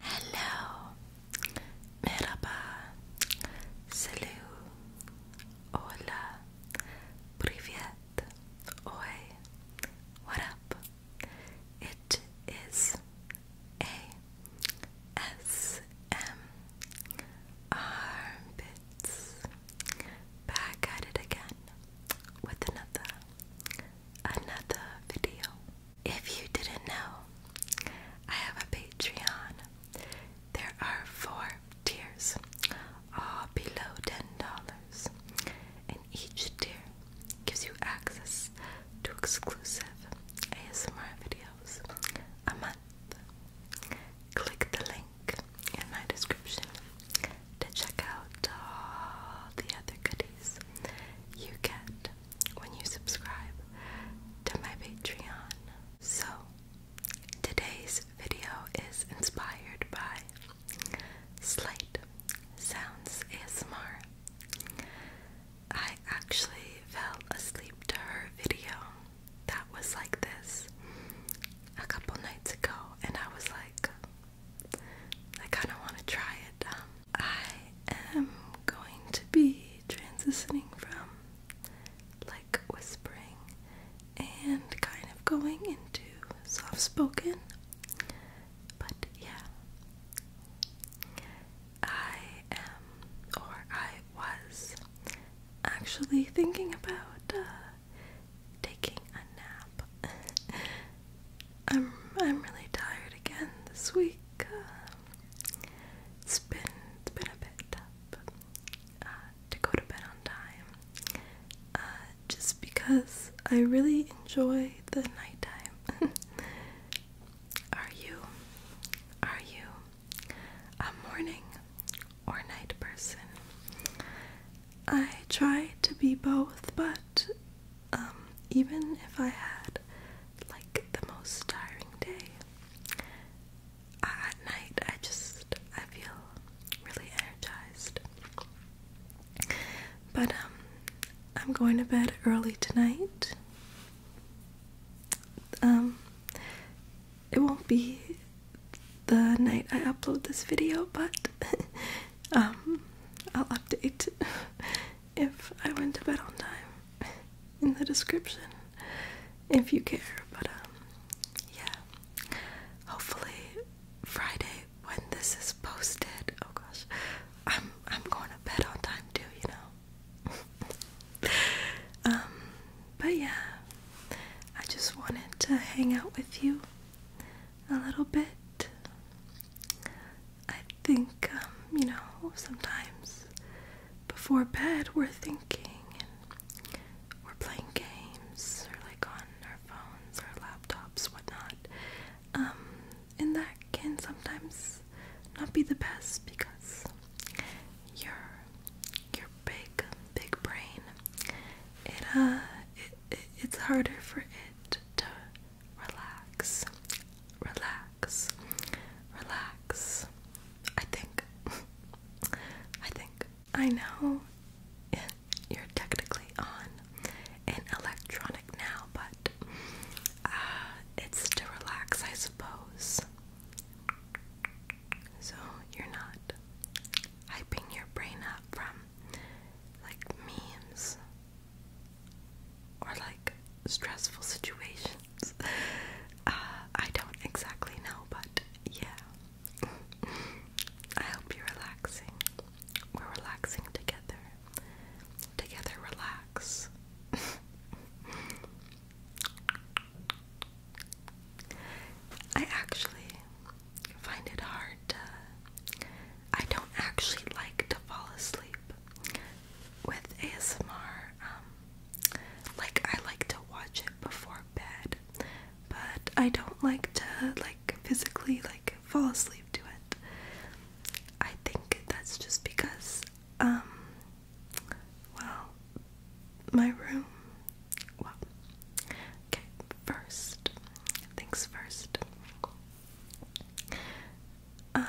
Hello, merhaba, salut, hola, privet, oi, what up? It is a S M armpits back at it again with another another video. If you didn't know, I have a Patreon. There are four tiers, all below $10, and each tier gives you access to exclusive ASMR videos a month. Click the link in my description to check out all the other goodies you get when you subscribe to my Patreon. So, today's video is inspired by Slight Sounds ASMR. I actually fell asleep to her video that was like this a couple nights ago, and I was like, I kind of want to try it. Um, I am going to be transitioning from like whispering and kind of going into soft spoken, but yeah, I am or I was actually thinking about uh, taking a nap. I'm I'm really tired again this week. Uh, it's been it's been a bit tough uh, to go to bed on time. Uh, just because I really enjoy the nighttime. are you are you a morning or night person? I try to be both, but um, even if I had like the most tiring day, at night I just I feel really energized. But um, I'm going to bed early tonight. Um, it won't be the night I upload this video, but I'll update. if I went to bed on time in the description if you care. But, um, yeah. Hopefully, Friday when this is posted, oh gosh, I'm, I'm going to bed on time too, you know? um, but yeah, I just wanted to hang out with you a little bit. I think, um, you know, sometimes before bed we're thinking and we're playing games or like on our phones or laptops, whatnot. Um, and that can sometimes not be the best because your your big big brain it uh it it's harder for it to relax, relax, relax. I think, I think, I know you're technically on an electronic now, but uh, it's to relax, I suppose. So you're not hyping your brain up from like memes or like stressful situations. Uh, I don't exactly know, but yeah. I hope you're relaxing. We're relaxing together. Together, relax. I actually find it hard to I don't actually like to fall asleep with ASMR. Um, like I like to watch it before bed, but I don't like to like physically like fall asleep to it. I think that's just because um well my room well okay first things first um,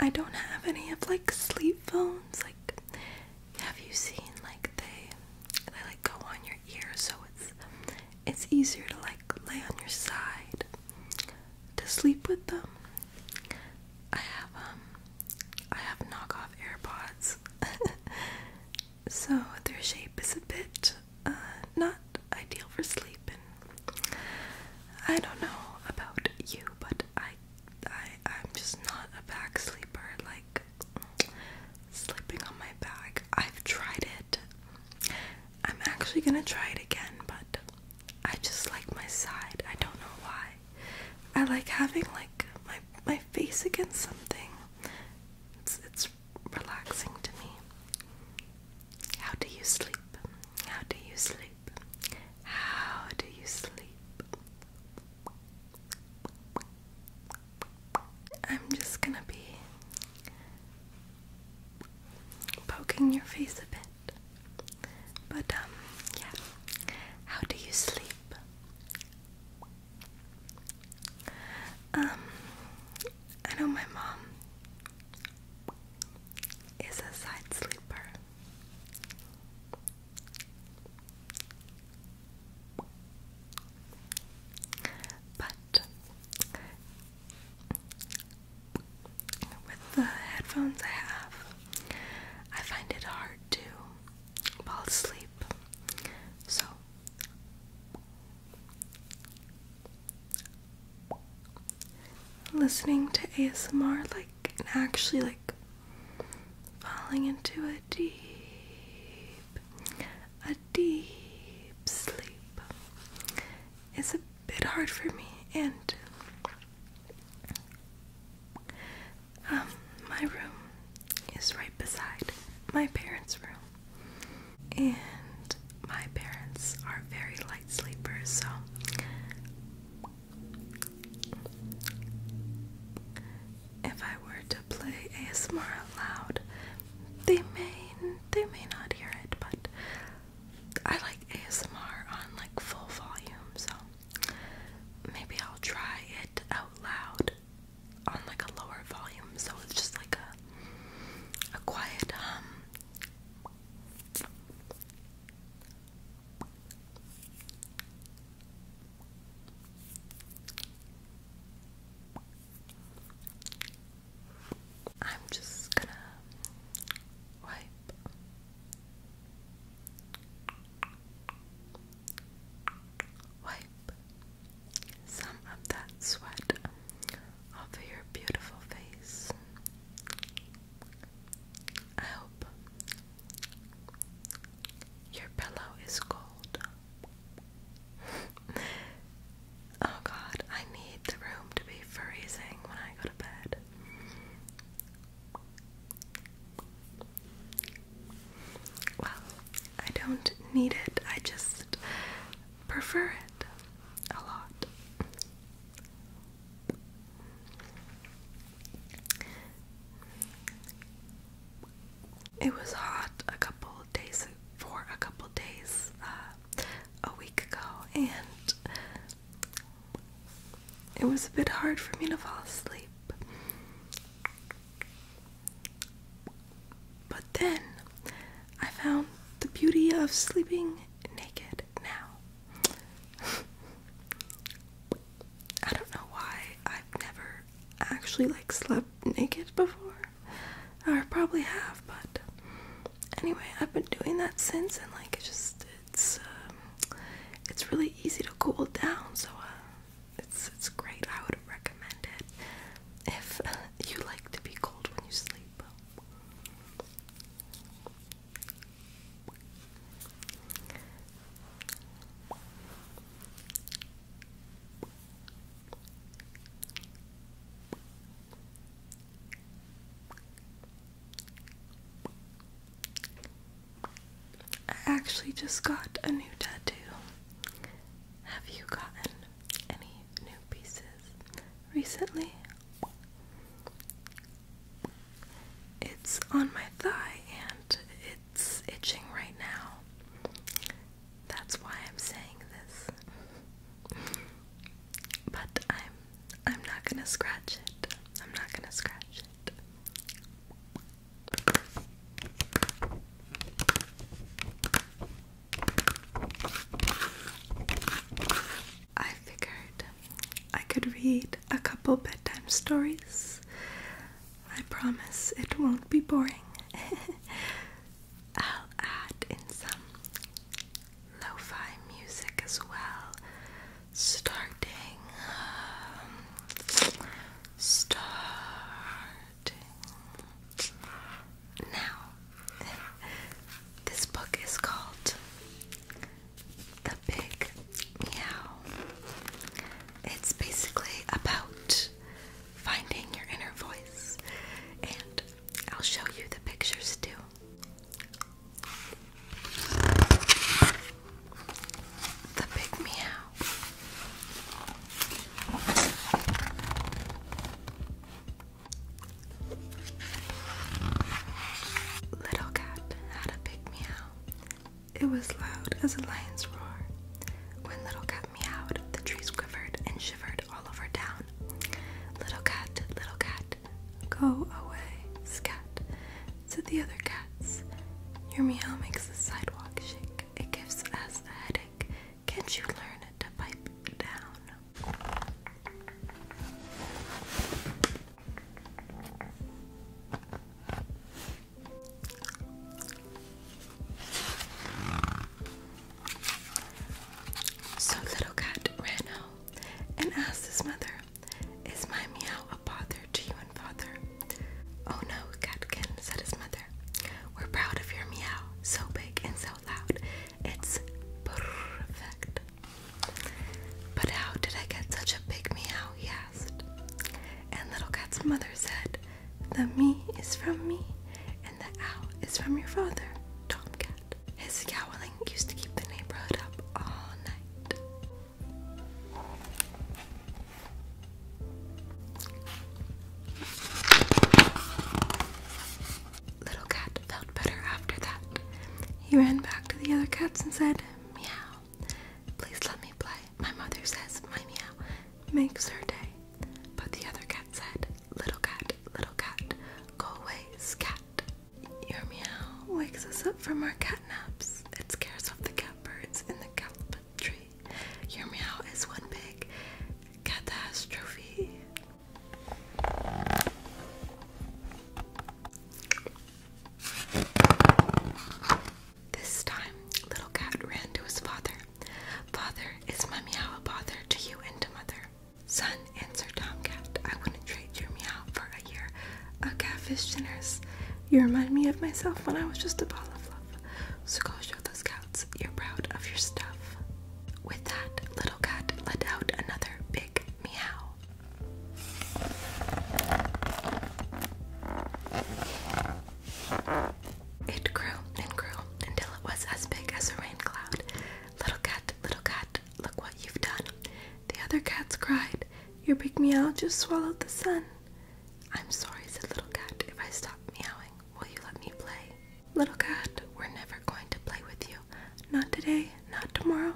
I don't have any of like sleep phones. Like, have you seen like they they like go on your ear, so it's it's easier to like lay on your side to sleep with them. I have um I have knockoff AirPods, so their shape is a bit uh, not ideal for sleeping. I don't know about you, but I, I, I'm just not a back sleeper. Like sleeping on my back, I've tried it. I'm actually gonna try it again, but I just like my side. I don't know why. I like having like my my face against something. It's it's relaxing to me. How do you sleep? How do you sleep? How do you sleep? I'm just gonna be poking your face a bit. But, um, yeah. How do you sleep? Um, I know my mom is a side sleeper. But with the headphones I have, I find it hard to fall asleep. So listening to ASMR like and actually like falling into a deep a deep sleep is a bit hard for me and um my room is right beside my parents' room and my parents are very light sleepers, so if I were to play ASMR out loud, they may they may not hear it, but I like ASMR on like full volume, so maybe I'll try it out loud on like a lower volume, so it's just like a a quiet hum. I'm just gonna wipe. Wipe, some of that sweat off your beautiful face. I hope your pillow is cold. oh god, I need the room to be freezing when I go to bed. Well, I don't need it. I just prefer it a lot. It was hot a couple days for a couple days uh, a week ago, and it was a bit hard for me to fall asleep. But then I found the beauty of sleeping naked now. I don't know why I've never actually like slept naked before. I probably have, but anyway, I've been doing that since and like it's just it's um, it's really easy to cool down, so uh, it's it's great. I would recommend it if you like to be cold when you sleep. I actually just got a new tattoo. Have you gotten any new pieces recently. It's on my thigh and it's itching right now. That's why I'm saying this. But I'm I'm not going to scratch it. I'm not going to scratch it. I figured I could read a couple bedtime stories. I promise it won't be boring. I'll add in some lo fi music as well, starting um, star now, this book is called The Big Meow. It's basically about finding your inner voice, and I'll show you the pictures too. The Big Meow Little Cat had a big meow. It was loud as a lion's roar. When Little Cat meowed, the trees quivered and shivered all over town. Little Cat, Little Cat, go away, scat, said the other cats. Your meow makes the sidewalk shake. It gives us a headache. Can't you learn to pipe down? So little cat ran home and asked his mother, Is my meow a bother to you and father? Oh no, Catkin, said his mother. We're proud of your meow, so big and so loud. It's perfect. But how did I get such a big meow? He asked. And Little Cat's mother said, The me is from me, and the ow is from your father, Tomcat. His yowling used to keep the neighborhood up all night. Little cat felt better after that. He ran back to the other cats and said, Meow, please let me play. My mother says my meow makes her day. But the other cat said, Little cat, little cat, go away, scat. Your meow wakes us up from our cat naps. It scares off the cat birds and the cat tree. Your meow is one big catastrophe. This time, little cat ran to his father. Father, is my meow a bother to you and to mother? Son, answered Tomcat, I wouldn't trade your meow for a year A catfish generous. You remind me of myself when I was just a ball of love. So go show those cats you're proud of your stuff. With that, little cat let out another big meow. It grew and grew until it was as big as a rain cloud. Little cat, little cat, look what you've done. The other cats cried, Your big meow just swallowed the sun. I'm sorry, said Little Cat, if I stop meowing. Will you let me play? Little cat, we're never going to play with you. Not today, not tomorrow,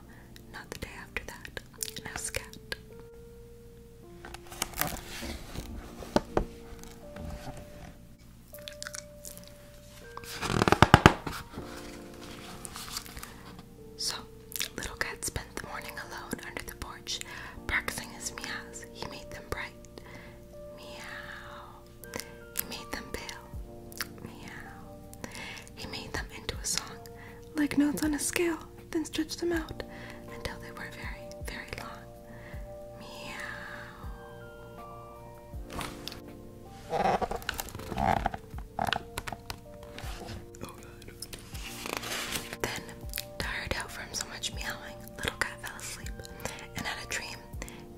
not the day after that. Now, scat. So, little cat spent the morning alone under the porch, practicing his meows. He made them bright Meow. He made them pale. Meow. He made them into a song, like notes on a scale, then stretched them out until they were very, very long. Meow. Oh, God. Then, tired out from so much meowing, Little cat fell asleep and had a dream.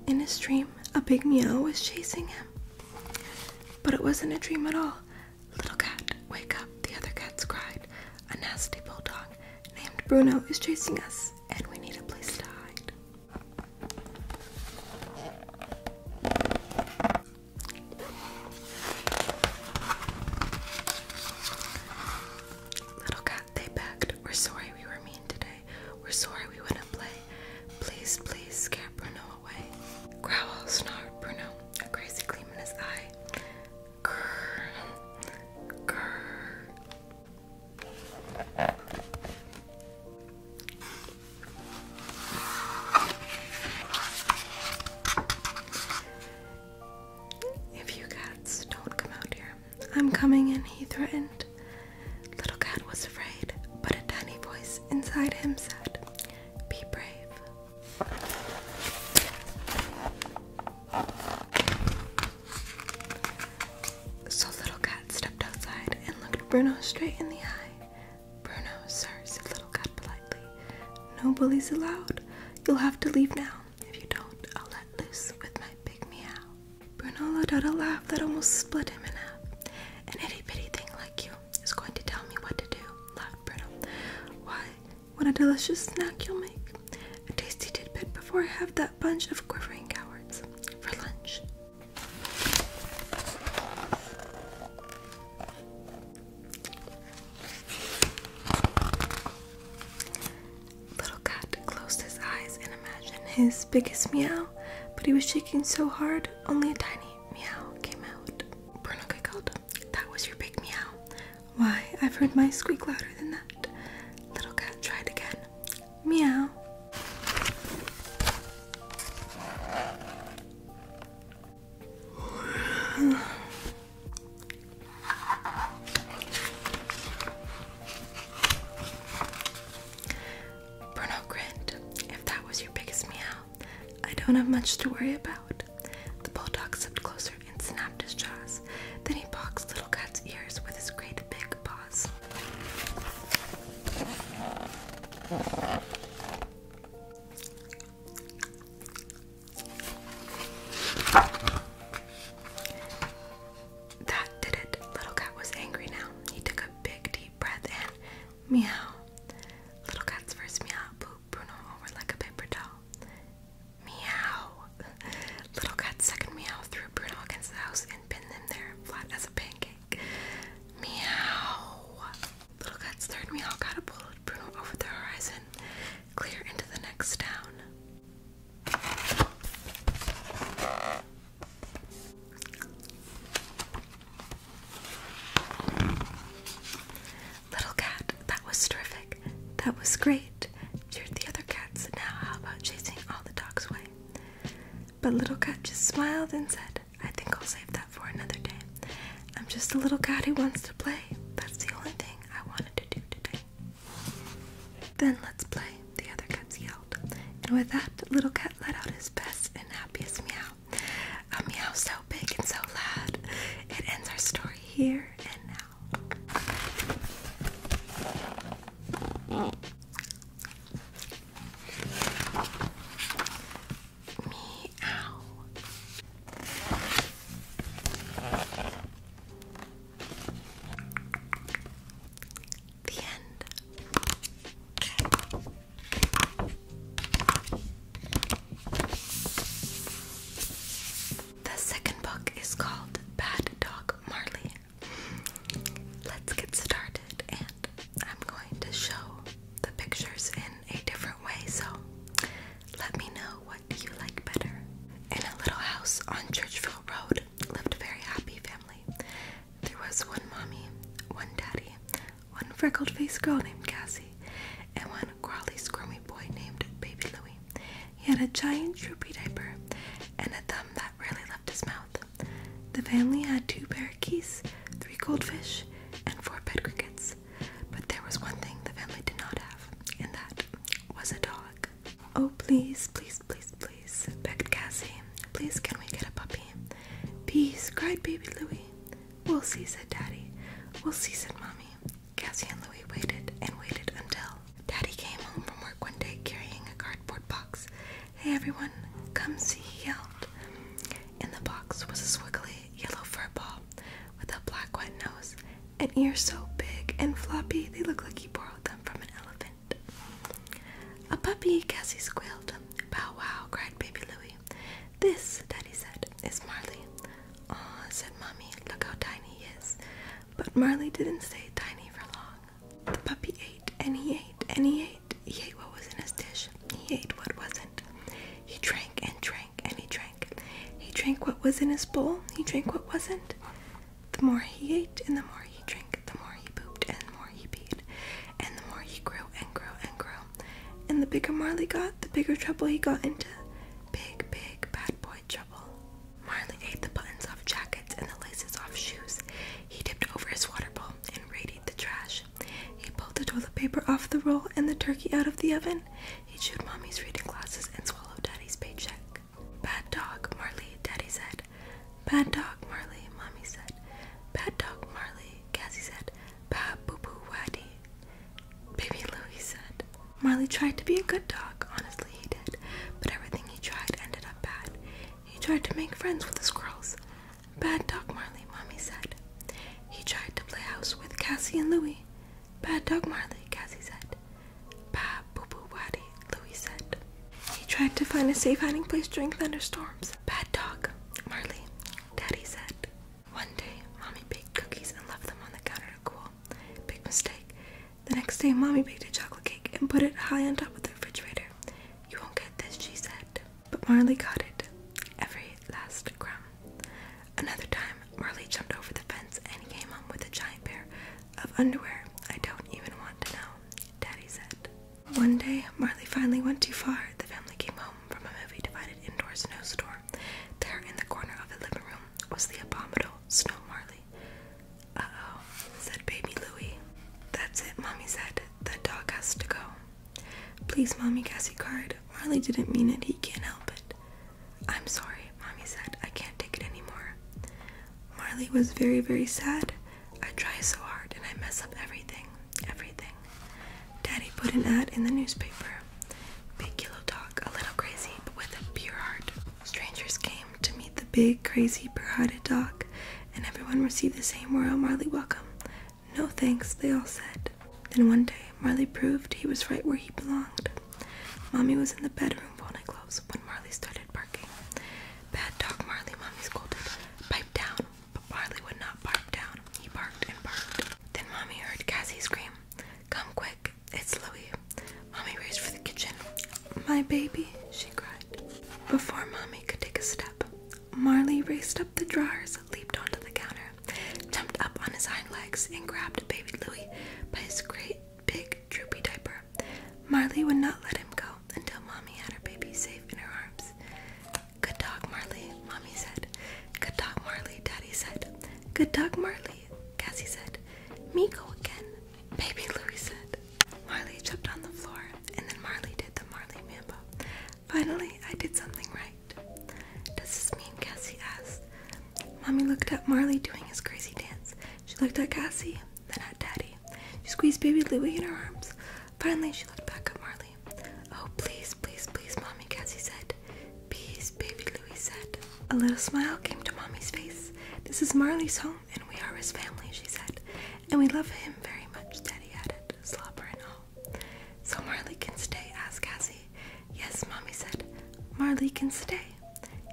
In his dream, a big meow was chasing him. But it wasn't a dream at all. Little cat, wake up, the other cats cried. A nasty bulldog named Bruno is chasing us, and we need a place to hide. Little cat, they begged. We're sorry we were mean today. We're sorry we wouldn't play. Please, please scare Bruno away. Growl, snarl, Bruno, a crazy gleam in his eye. Grrr. Grrr. If you cats don't come out here, I'm coming in, he threatened. Little Cat was afraid, but a tiny voice inside him said, Be brave. So Little Cat stepped outside and looked Bruno straight in the eye. Bruno, sir, said Little Cat politely, no bullies allowed. You'll have to leave now. If you don't, I'll let loose with my big meow. Bruno let out a laugh that almost split him in half. An itty bitty thing like you is going to tell me what to do, laughed Bruno. Why, what a delicious snack you'll make. A tasty tidbit before I have that bunch of quivering cowards for lunch. Little Cat closed his eyes and imagined his biggest meow, but he was shaking so hard, only a tiny meow came out. Bruno giggled. That was your big meow. Why, I've heard my squeak louder than that. Little Cat tried again. Meow. Bruno grinned. If that was your biggest meow, I don't have much to worry about. The bulldog stepped closer and snapped his jaws. Then he boxed Little Cat's ears with his great big paws. That did it. Little cat was angry now. He took a big deep breath and meow. Little cat's first meow pooped Bruno over like a paper doll. Meow. Little cat's second meow threw Bruno against the house and pinned him there flat as a pancake. Meow. Little cat's third meow catapulted Bruno over the horizon clear into the next town. Little cat, that was terrific. That was great. You're the other cats, now how about chasing all the dogs away? But Little Cat just smiled and said, I think I'll save that for another day. I'm just a little cat who wants to play. That's the only thing then let's play, the other cats yelled. And with that, Little Cat let out his best and happiest meow. A meow so big and so loud. It ends our story here and now. Meow. The end. The second book is called Bad Dog Marley. Let's get started, and I'm going to show the pictures in a different way. So let me know what you like better. In a little house on Churchville Road lived a very happy family. There was one mommy, one daddy, one freckled faced girl named Cassie, and one crawly, squirmy boy named Baby Louie. He had a giant droopy diaper and a thumb that rarely left his mouth. The family had two parakeets, three goldfish, and four bed crickets. But there was one thing the family did not have, and that was a dog. Oh, please, please, please, please, begged Cassie. Please, can we get a puppy? Peace, cried baby Louie. We'll see, said Daddy. We'll see, said Mommy. Cassie and Louie waited and waited until Daddy came home from work one day carrying a cardboard box. Hey, everyone, come see, he yelled. In the box was a swiggly yellow fur ball with a black, wet nose and ears so big and floppy they look like he borrowed them from an elephant. A puppy, Cassie squealed. Bow wow, cried baby Louie. This, Daddy said, is Marley. Aw, said Mommy, look how tiny he is. But Marley didn't stay tiny for long. The puppy ate, and he ate, and he ate. He ate what was in his dish. He ate what wasn't. He drank and drank and he drank. He drank what was in his bowl, he drank what wasn't. The more he ate and the more he drank, the more he pooped and the more he peed, and the more he grew and grew and grew. And the bigger Marley got, the bigger trouble he got into. Big, big bad boy trouble. Marley ate the buttons off jackets and the laces off shoes. He tipped over his water bowl and raided the trash. He pulled the toilet paper off the roll and the turkey out of the oven. He chewed mommy's reading glasses and swallowed daddy's paycheck. Bad dog, Marley, daddy said. Bad dog, Marley, mommy said. Bad dog, Marley, Cassie said. Ba boo boo waddy. Baby Louie said. Marley tried to be a good dog, honestly he did, but everything he tried ended up bad. He tried to make friends with the squirrels. Bad dog, Marley, mommy said. He tried to play house with Cassie and Louie. Bad dog Marley, Cassie said. Bah, boo boo waddy, Louis said. He tried to find a safe hiding place during thunderstorms. Bad dog, Marley, Daddy said. One day, Mommy baked cookies and left them on the counter to cool. Big mistake. The next day, Mommy baked a chocolate cake and put it high on top of the refrigerator. You won't get this, she said. But Marley got it. Every last crumb. Another time, Marley jumped over the fence and came home with a giant pair of underwear. I don't even want to know, Daddy said. One day, Marley finally went too far. The family came home from a movie divided indoor snowstorm. There in the corner of the living room was the abominable Snow Marley. Uh oh, said baby Louie. That's it, Mommy said. The dog has to go. Please, Mommy, Cassie cried. Marley didn't mean it. He can't help it. I'm sorry, Mommy said. I can't take it anymore. Marley was very, very sad. I try so hard and I mess up everything. Everything. Daddy put an ad in the newspaper. Big Yellow Dog, a little crazy, but with a pure heart. Strangers came to meet the big, crazy, pure-hearted dog, and everyone received the same royal Marley welcome. No thanks, they all said. Then one day, Marley proved he was right where he belonged. Mommy was in the bedroom pulling clothes when Marley started barking. Bad dog, Marley, Mommy scolded. Pipe down. But Marley would not bark down. He barked and barked. Then Mommy heard Cassie scream, Come quick, it's Louie. Mommy raced for the kitchen. My baby, she cried. Before Mommy could take a step, Marley raced up the drawers, leaped onto the counter, jumped up on his hind legs and grabbed baby Louie by his great big droopy diaper. Marley would not let him go until Mommy had her baby safe in her arms. Good dog, Marley, Mommy said. Good dog, Marley, Daddy said. Good dog, Marley, Cassie said. Me go again, baby Louie said. Marley jumped on the floor, and then Marley did the Marley Mambo. Finally, I did something right. Does this mean Cassie asked? Mommy looked at Marley doing his crazy dance. She looked at Cassie, then at Daddy. She squeezed baby Louie in her arms. Finally, she looked back at Marley. Oh, please, please, please, Mommy, Cassie said. Please, baby Louie said. A little smile came to Mommy's face. This is Marley's home, and we are his family, she said. And we love him very much, Daddy added, slobber all. So Marley can stay, asked Cassie. Yes, Mommy said. Marley can stay.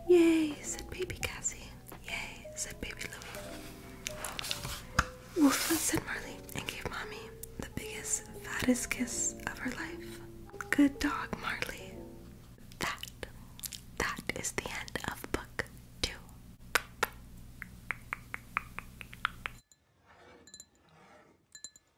Yay, said baby Cassie. Yay, said baby Louie. Woof, said Marley, and gave Mommy the biggest, fattest kiss of her life. Good dog, Marley. That, that is the end of book two.